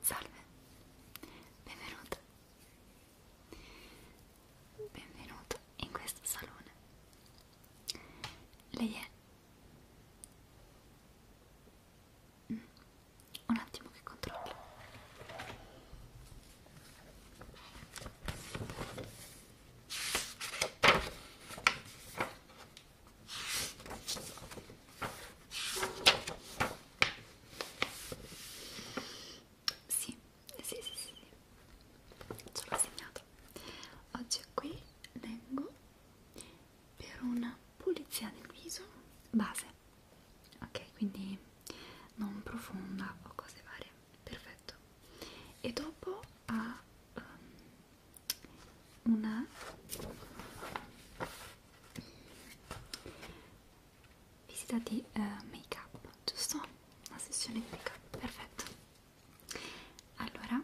Salve, benvenuto, benvenuto in questo salone. Lei è... Mm. Un attimo che controllo. Sì, sì, sì, sì, ce l'ho segnato. Oggi qui vengo per una pulizia del viso base, ok? Quindi non profonda o cose varie, perfetto. E dopo a um, ehm, una visita di uh, eh, make up, giusto? Una sessione di make up, perfetto. Allora,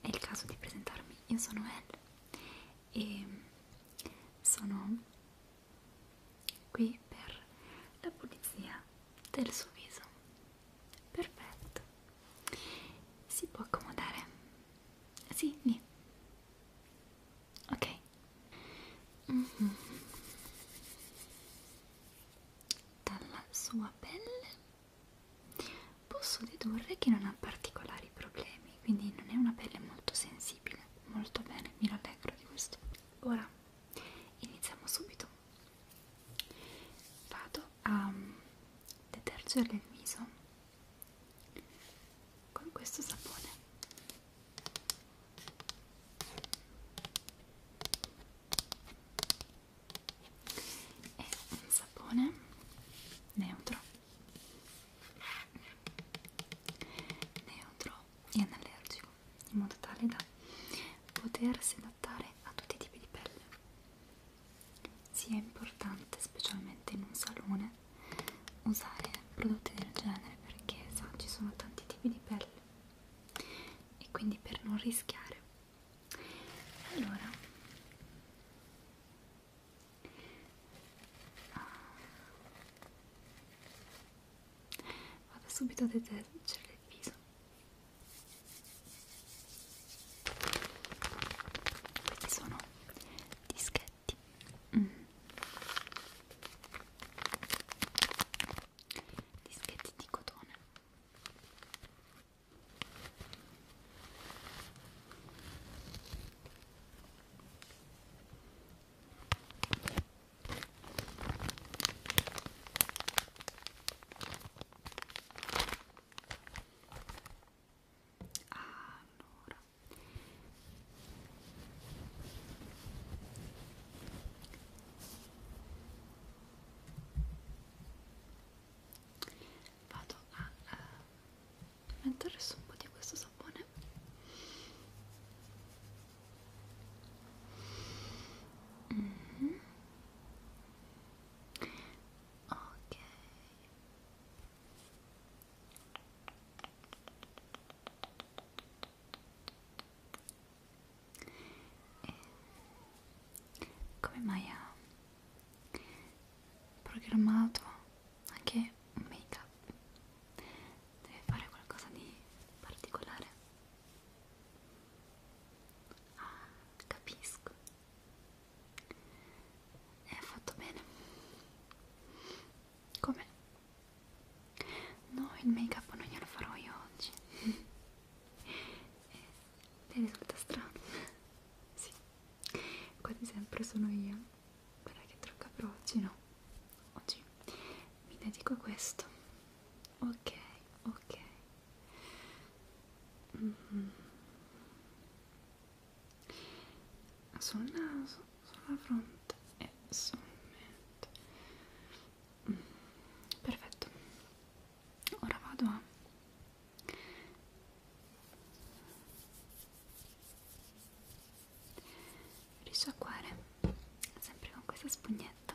è il caso di presentarmi. Io sono Elle e sono qui per la pulizia del suo viso Perfetto. Si può accomodare? Sì, lì. Ok. Mm -hmm. Dalla sua pelle posso dedurre che non ha particolari problemi, quindi non è una pelle molto sensibile. Molto bene, mi rallegro di questo. Ora iniziamo subito. Vado a mm, detergere il viso con questo sapone è un sapone neutro neutro e anallergico in modo tale da potersi adattare a tutti i tipi di pelle sia importante, specialmente in un salone, usare prodotti del genere perché sa, ci sono tanti tipi di pelle e quindi per non rischiare. Allora, ah, vado subito a detergere il viso questi sono dischetti. Mm. Dischetti di cotone allora vado a eh, mettere su un po' di questo sapone mm -hmm ok e come mai ha programmato anche un make up? Deve fare qualcosa di particolare Ah, capisco. È fatto bene. Come? No, il make up non glielo farò io oggi. Eh, ti risulta strano? sì, quasi sempre sono io. Quella che trucca, però oggi no. Oggi mi dedico a questo ok ok mm -hmm. sul naso sulla fronte e sul mento mm. perfetto ora vado a risciacquare sempre con questa spugnetta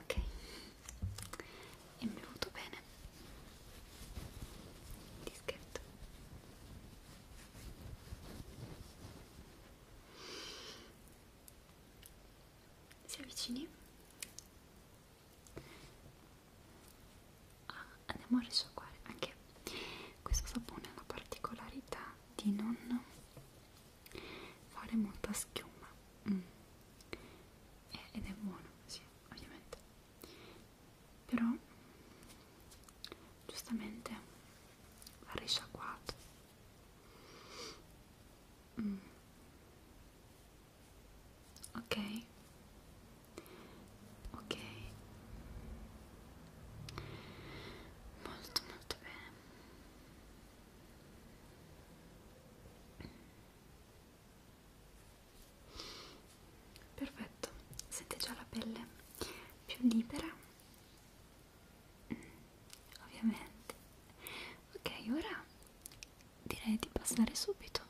ok e mi è venuto bene il dischetto si avvicini ah, andiamo a risciacquare anche questo sapone ha la particolarità di non fare molta schiuma mm. Eh, ed è buono, sì, ovviamente però giustamente va risciacquato mm. ok ok molto molto bene Perfetto, sente già la pelle più libera? Ovviamente. Ok, ora direi di passare subito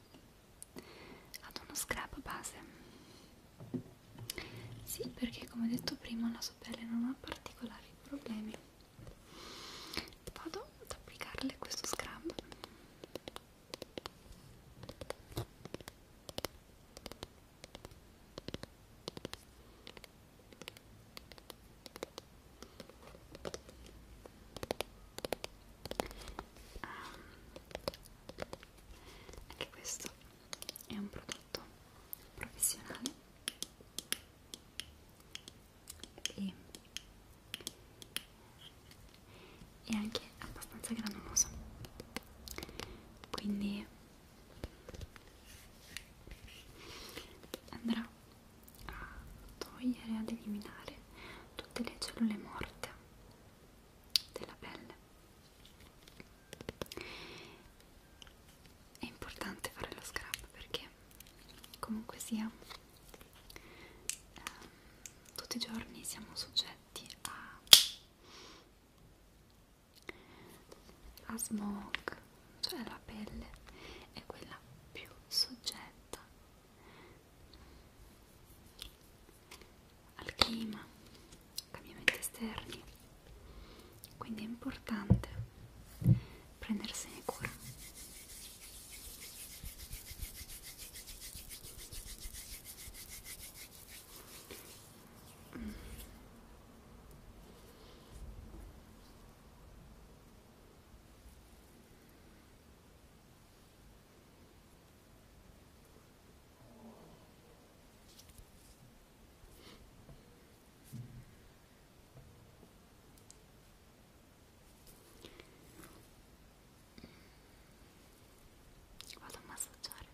ad uno scrap base. Sì, perché come detto prima la sua pelle non ha particolari problemi vado ad applicarle questo scrub anche questo è un prodotto professionale e, e anche abbastanza granuloso quindi andrà a togliere ad eliminare tutte le cellule morte della pelle è importante fare lo scrub perché comunque sia ehm, tutti i giorni siamo soggetti a, a smog cioè la pelle è quella più soggetta al clima, cambiamenti esterni quindi è importante prendersene cura mm vado a massaggiare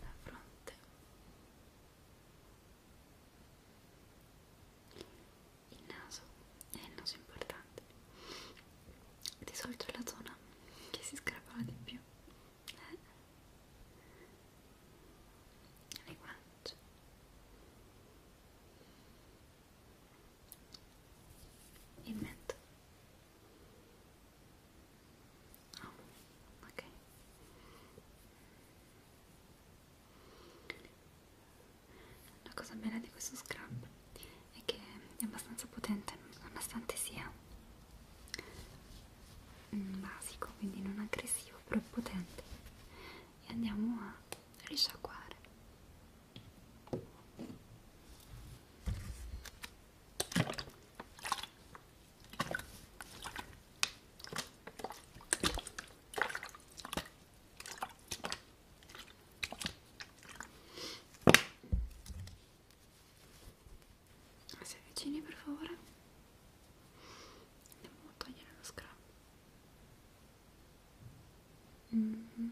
la fronte il naso è il naso importante. Di solito è la zona che si scrapava di più. Eh. Le guance. Il mento. Oh, ah, ok. La cosa bella di questo scrub è che è abbastanza potente, nonostante sia mm, basico, quindi non aggressivo, però potente. E andiamo a risciacquare. Si avvicini per favore. Andiamo a togliere lo scrub. Mm -hmm.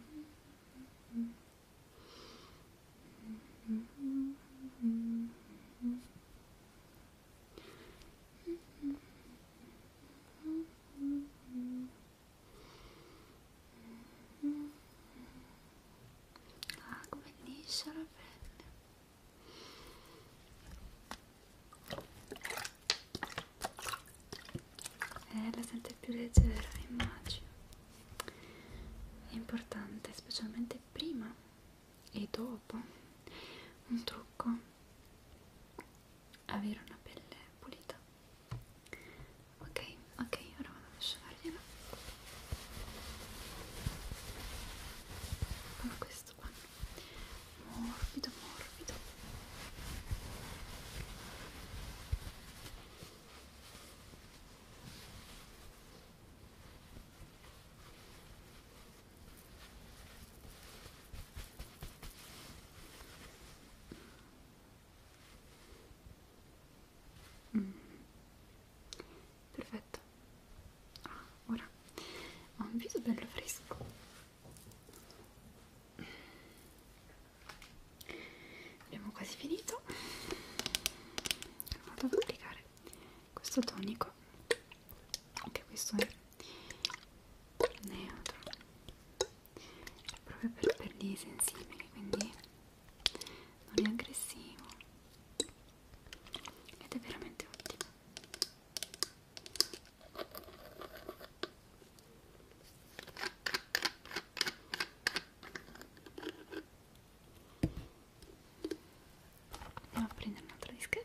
Mm -hmm. Mm -hmm. Ah, come liscia la pelle. Eh, la sente più leggera, immagino. È importante, specialmente prima e dopo. Un trucco avere una pelle pulita ok ok ora vado a asciugargliela con questo panno morbido morbido ok Mm. Perfetto. Ah, ora ho un viso bello fresco. Abbiamo quasi finito. Vado ad applicare questo tonico ecco anche questo è neutro è proprio per, per gli sensibili quindi non è aggressivo ed è veramente ottimo andiamo a prendere un altro dischetto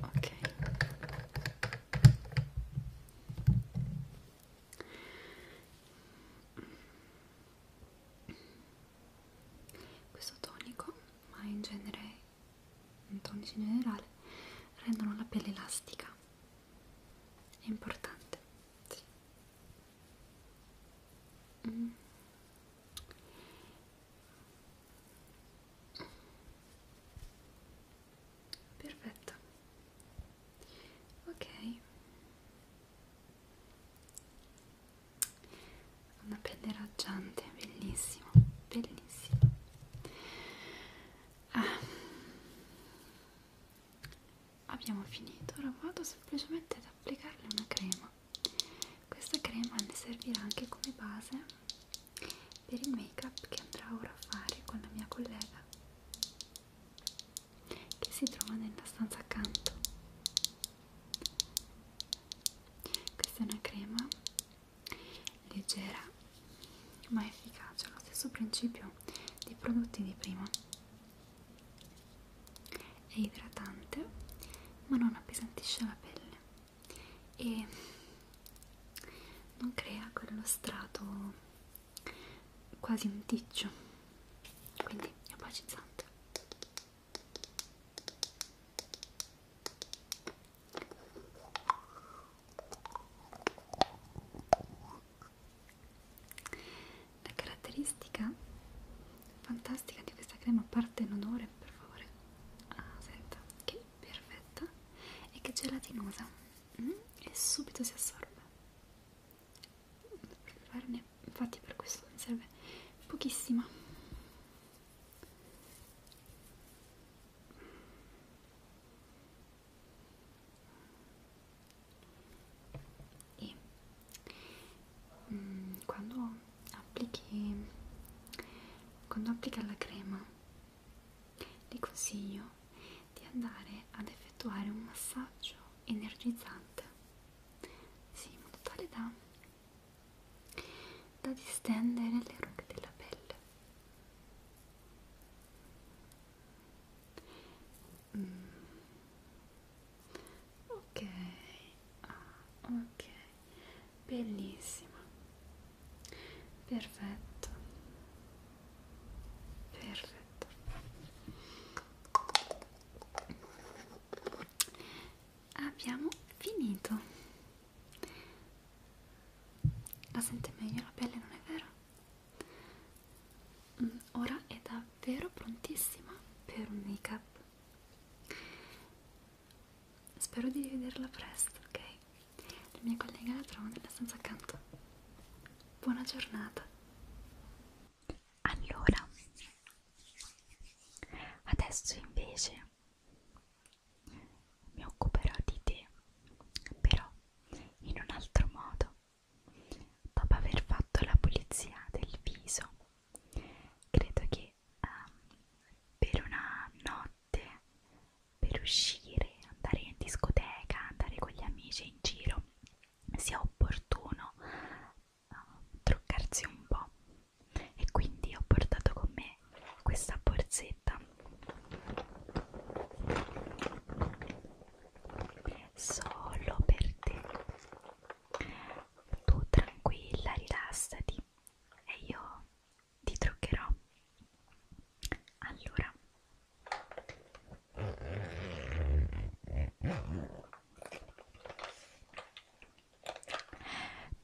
ok questo tonico ma in genere un tonici in generale rendono la pelle elastica è importante sì. mm perfetto ok una pelle raggiante bellissimo bellissimo ah. abbiamo finito ora vado semplicemente ad applicarle una crema questa crema mi servirà anche come base per il make up che andrò ora a fare con la mia collega che si trova nella stanza accanto. Questa è una crema leggera ma efficace, ha lo stesso principio dei prodotti di prima è idratante ma non appesantisce la pelle e non crea quello strato quasi un ticcio quindi è opacizzante la caratteristica fantastica di questa crema, a parte in odore per favore, ah, senta, che perfetta, è che è gelatinosa mm? e subito si assorbe. Per farne, infatti per questo ne serve pochissima e mm, quando applichi quando applica la crema ti consiglio di andare ad effettuare un massaggio energizzante sì, in modo tale da, da distendere le rughe della pelle mm ok ah, ok bellissima perfetto perfetto abbiamo finito la sente meglio la pelle non è vero mm, ora è davvero prontissima per un make up Spero di rivederla presto, ok? La mia collega la trovo nella stanza accanto. Buona giornata. Allora, adesso invece mi occuperò di te, però in un altro modo. Dopo aver fatto la pulizia del viso credo che um, per una notte per uscire andare in discoteca andare con gli amici in giro sia opportuno uh, truccarsi un po' e quindi ho portato con me questa borsetta solo per te tu tranquilla, rilassati e io ti truccherò. Allora,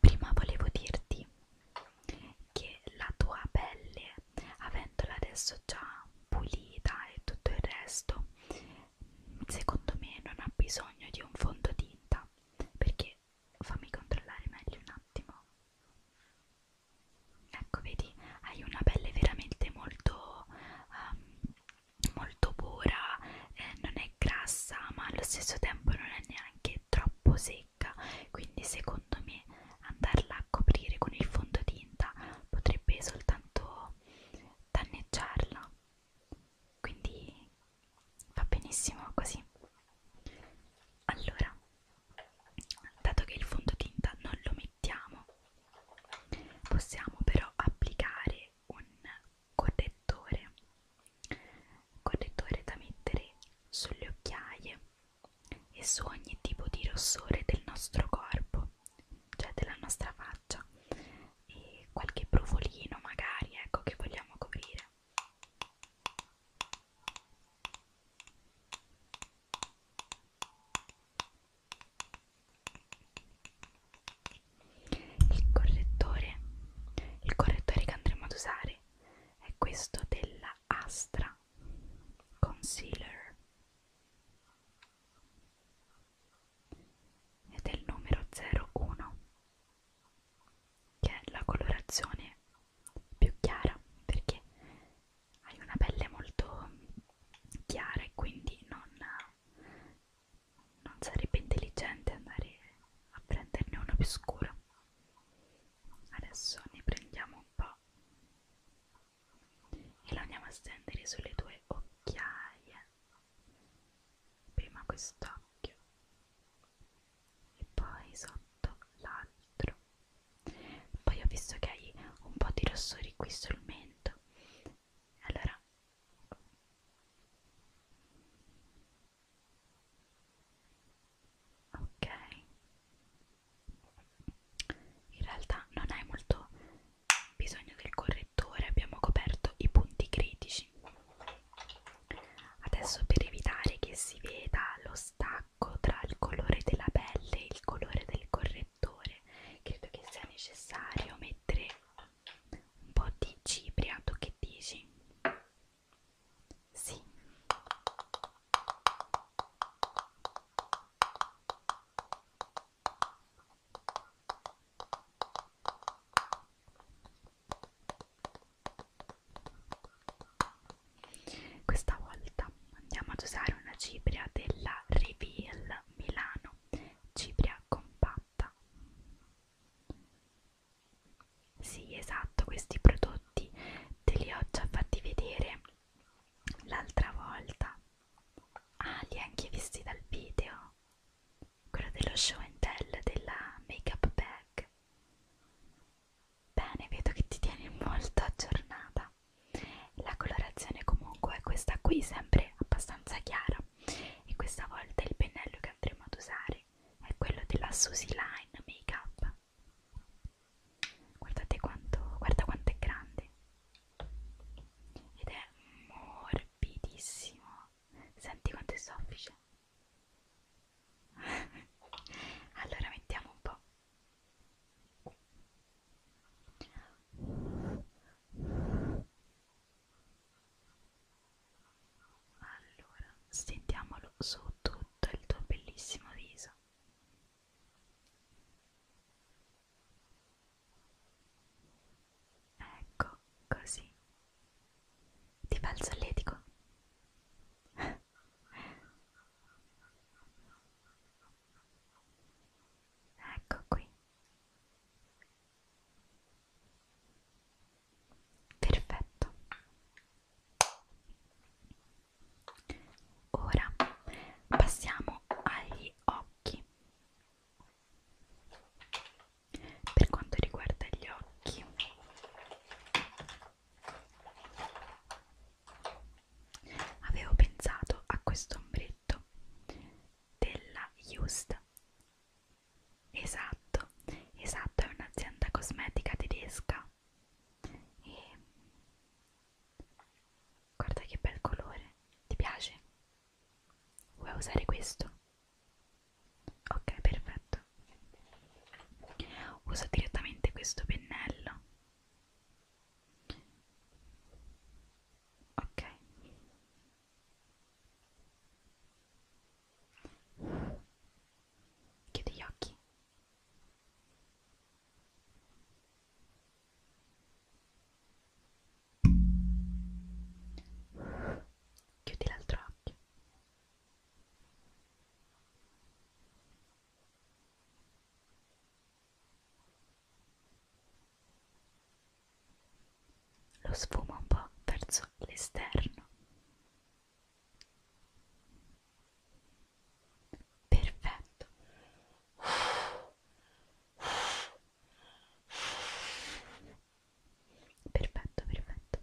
prima volevo dirti che la tua pelle, avendola adesso già pulita e tutto il resto, secondo me non ha bisogno di un fondotinta perché fammi controllare meglio un attimo ecco vedi hai una pelle veramente molto um, molto pura eh, non è grassa ma allo stesso tempo non è neanche troppo secca quindi secondo me andarla a coprire con il fondotinta potrebbe soltanto danneggiarla quindi va benissimo così allora dato che il fondotinta non lo mettiamo possiamo però applicare un correttore correttore da mettere sulle occhiaie e su ogni tipo di rossore del nostro corpo cioè della nostra faccia e qualche brufolino magari ecco che vogliamo coprire il correttore il correttore che andremo ad usare è questo della Astra Concealer ed è il numero 01 che è la colorazione più chiara perché hai una pelle molto chiara e quindi non, non sarebbe intelligente andare a prenderne uno più scuro adesso ne prendiamo un po' e lo andiamo a stendere sulle tue occhiaie prima quest'occhio e poi sotto l'altro poi ho visto che hai un po' di rossori qui sul mento allora ok in realtà non hai molto bisogno del correttore abbiamo coperto i punti critici adesso per evitare che si veda lo stacco tra il colore della pelle e il colore del correttore credo che sia necessario mettere un po' di cipria tu che dici? sì questa volta andiamo ad usare una cipria della Reveal Milano, cipria compatta. Sì, esatto, questi prodotti te li ho già fatti vedere l'altra volta Ah, li ha anche visti dal video, quello dello show and tell della make-up bag. Bene, vedo che ti tieni molto aggiornata. La colorazione comunque è questa qui, sempre abbastanza chiara. E questa volta il pennello che andremo ad usare è quello della Susie Line Makeup. Guardate quanto, guarda quanto è grande ed è morbidissimo senti quanto è soffice allora mettiamo un po' allora sentiamolo su tutto il tuo bellissimo viso Ecco, così. Ti fa il solletico? ecco qui. Perfetto. Ora passiamo agli occhi. Per quanto riguarda gli occhi, avevo pensato a questo ombretto della Just. Esatto, esatto, è un'azienda cosmetica tedesca e Guarda che bel colore, ti piace? Vuoi usare questo? Ok, perfetto. Uso direttamente questo pennello. Ok. Chiudi gli occhi. Chiudi l'altro occhio. Lo sfuma un po' verso l'esterno. Perfetto. Perfetto, perfetto.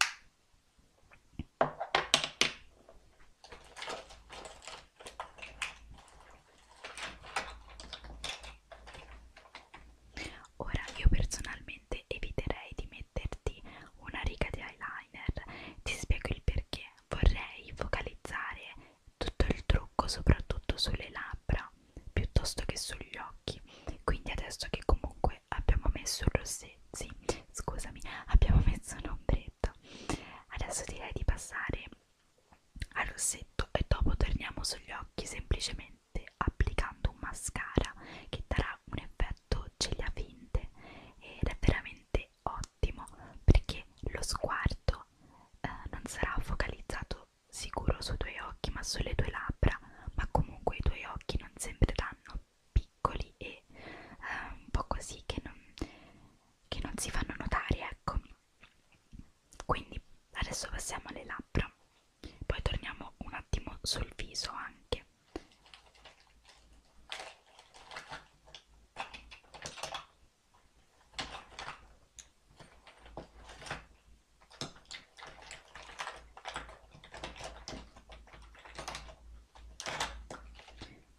Ora io personalmente eviterei di metterti una riga di eyeliner, ti spiego il perché. Vorrei focalizzare tutto il trucco soprattutto sulle labbra piuttosto che sugli occhi quindi adesso che comunque abbiamo messo il rossetto sì, scusami abbiamo messo un ombretto adesso direi di passare al rossetto e dopo torniamo sugli occhi semplicemente applicando un mascara che darà un effetto ciglia finte ed è veramente ottimo perché lo sguardo volto eh, non sarà focalizzato sicuro sui tuoi occhi ma sulle tue labbra ma comunque i tuoi occhi non sembreranno piccoli e eh, un po' così che non, che non si fanno notare ecco quindi adesso passiamo alle labbra poi torniamo un attimo sul viso anche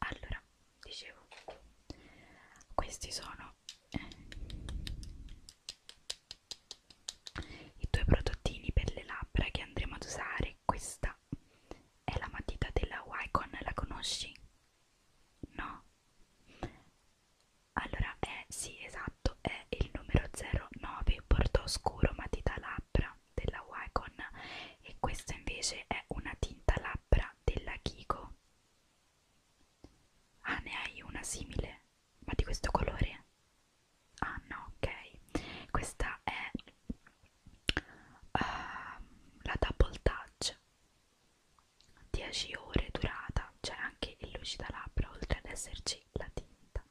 allora, dicevo, questi sono eh, i due prodottini per le labbra che andremo ad usare. Questa è la matita della Wycon, la conosci? No. Allora è, eh, sì esatto, è il numero 09 bordo scuro matita labbra della Wacon e questa invece è una tinta labbra della Kiko. Ah, ne hai una simile, ma di questo colore? Ah no, ok. Questa è uh, la Double Touch 10 ore durata, c'è anche il lucidalabbra oltre ad esserci la tinta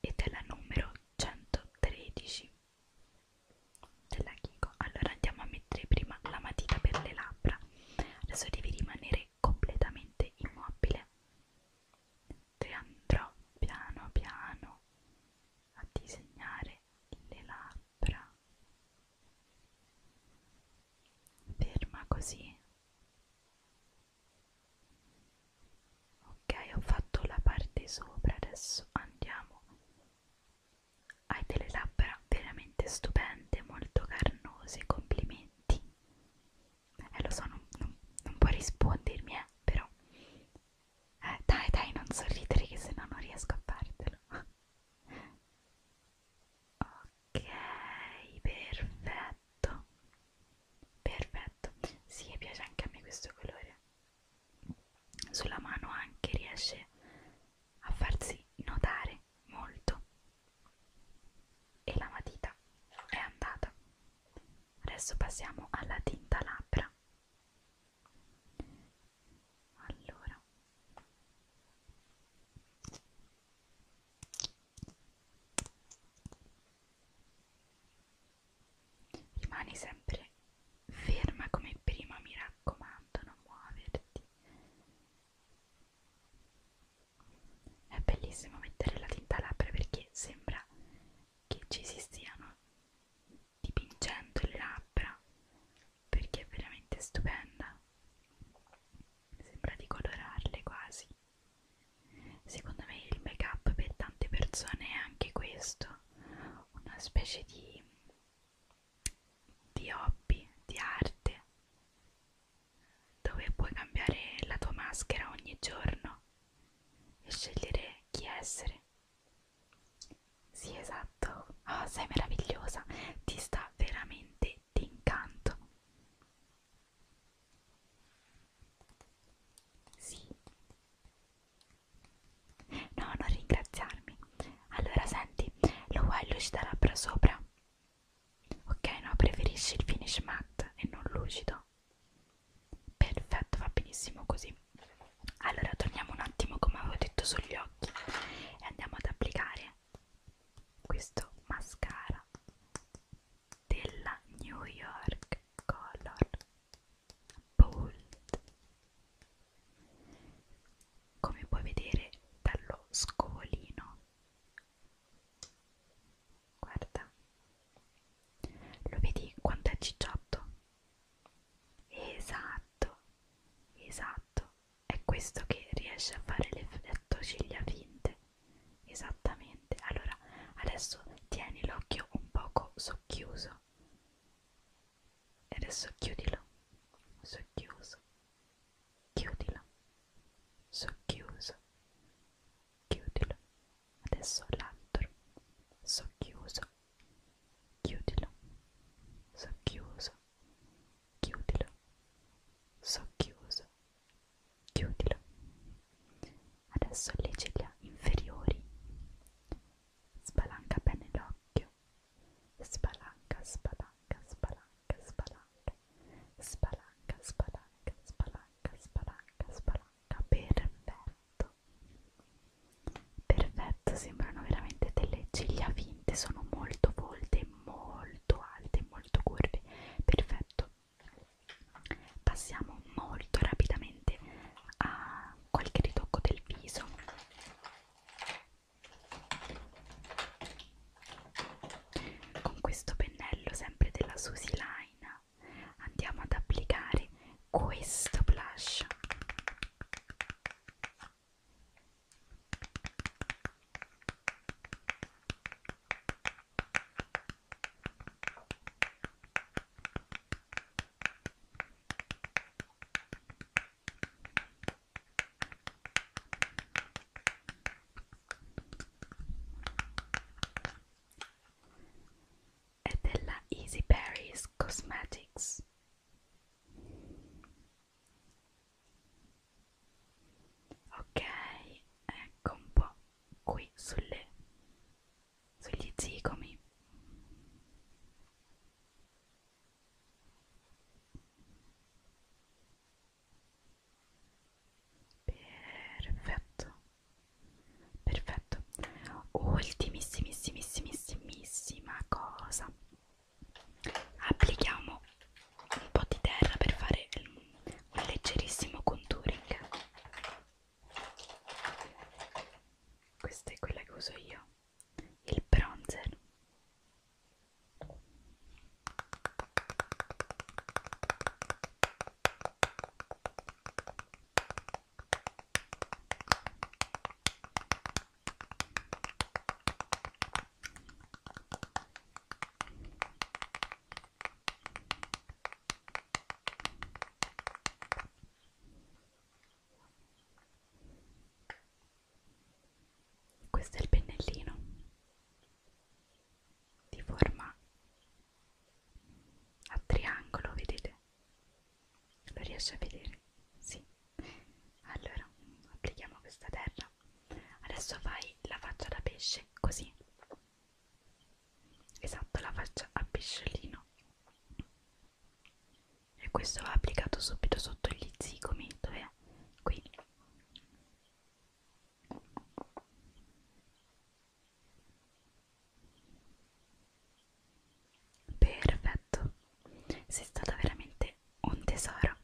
ed è la numero 113 della Kiko allora andiamo a mettere prima la matita per le labbra adesso devi rimanere completamente immobile te andrò piano piano a disegnare le labbra labbra. Ferma così. Ok, ho fatto la parte sopra, adesso andiamo. Hai delle labbra veramente stupende, molto carnose, complimenti. Eh lo so, non, non, non puoi rispondermi, eh, però. Eh, dai, dai, non sorridere che se no non riesco a fartelo ok perfetto perfetto si sì, piace anche a me questo colore sulla mano anche riesce a farsi notare molto e la matita è andata adesso passiamo alla tinta labbra allora rimani sempre ferma come prima mi raccomando non muoverti è bellissimo mettere la tinta labbra perché sembra che ci si stiano dipingendo le labbra perché è veramente stupenda sembra di colorarle quasi secondo me il make up per tante persone è anche questo una specie di di hobby di arte dove puoi cambiare la tua maschera ogni giorno e scegliere chi essere sì, esatto. Oh, sei meravigliosa. Ti sta veramente d'incanto. Sì. No, non ringraziarmi. Allora, senti, lo vuoi lucidare labbra sopra? Ok, no, preferisci il finish matte e non lucido? Perfetto, va benissimo così allora torniamo un attimo come avevo detto sugli occhi e andiamo ad applicare questo mascara della New York Color Bold come puoi vedere dallo scovolino guarda lo vedi quanto è cicciotto Esatto, esatto, è questo che riesce a fare l'effetto ciglia finte. Esattamente, allora adesso tieni l'occhio un poco socchiuso e adesso chiudilo, socchiuso, chiudilo, socchiuso, chiudilo, adesso l'altro, socchiuso chiudila, socchiuso, chiudila, socchiuso, chiudila. Adesso le ciglia inferiori, spalanca bene l'occhio, spalanca, spalanca, spalanca, spalanca, spalanca, spalanca, spalanca, spalanca, spalanca, perfetto fatto perfetto sembrano veramente delle ciglia finte sono molto volte molto alte molto curve perfetto passiamo molto rapidamente a qualche ritocco del viso con questo pennello sempre della Susi Line andiamo ad applicare questo blush è della Easy Berries Cosmetics ok ecco un po' qui sulle sugli zigomi perfetto perfetto ultimissimissimissima cosa applichiamo un po' di terra per fare un leggerissimo contouring questa è quella che uso io il bronzer questo è il pennellino di forma a triangolo, vedete? Lo riesci a vedere? Sì. Allora, applichiamo questa terra. Adesso fai la faccia da pesce, così. Esatto, la faccia a pesciolino. E questo va applicato subito sotto gli zigomi, dov'è? Qui. Perfetto, sei stata veramente un tesoro.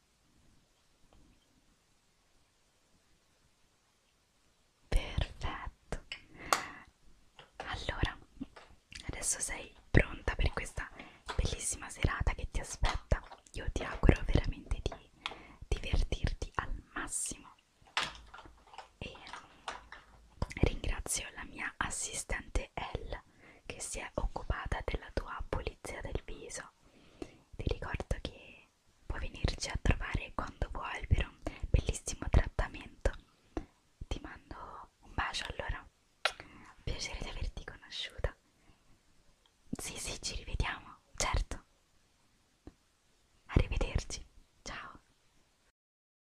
Perfetto. Allora, adesso sei pronta per questa bellissima serata che ti aspetta. Io ti auguro veramente di divertirti al massimo e ringrazio la mia assistente Elle che si è occupata della tua pulizia del viso. Ti ricordo che puoi venirci a trovare quando vuoi per un bellissimo trattamento. Ti mando un bacio allora. Piacere di averti conosciuta. Sì, sì, ci rivediamo, certo. Arrivederci. Ciao.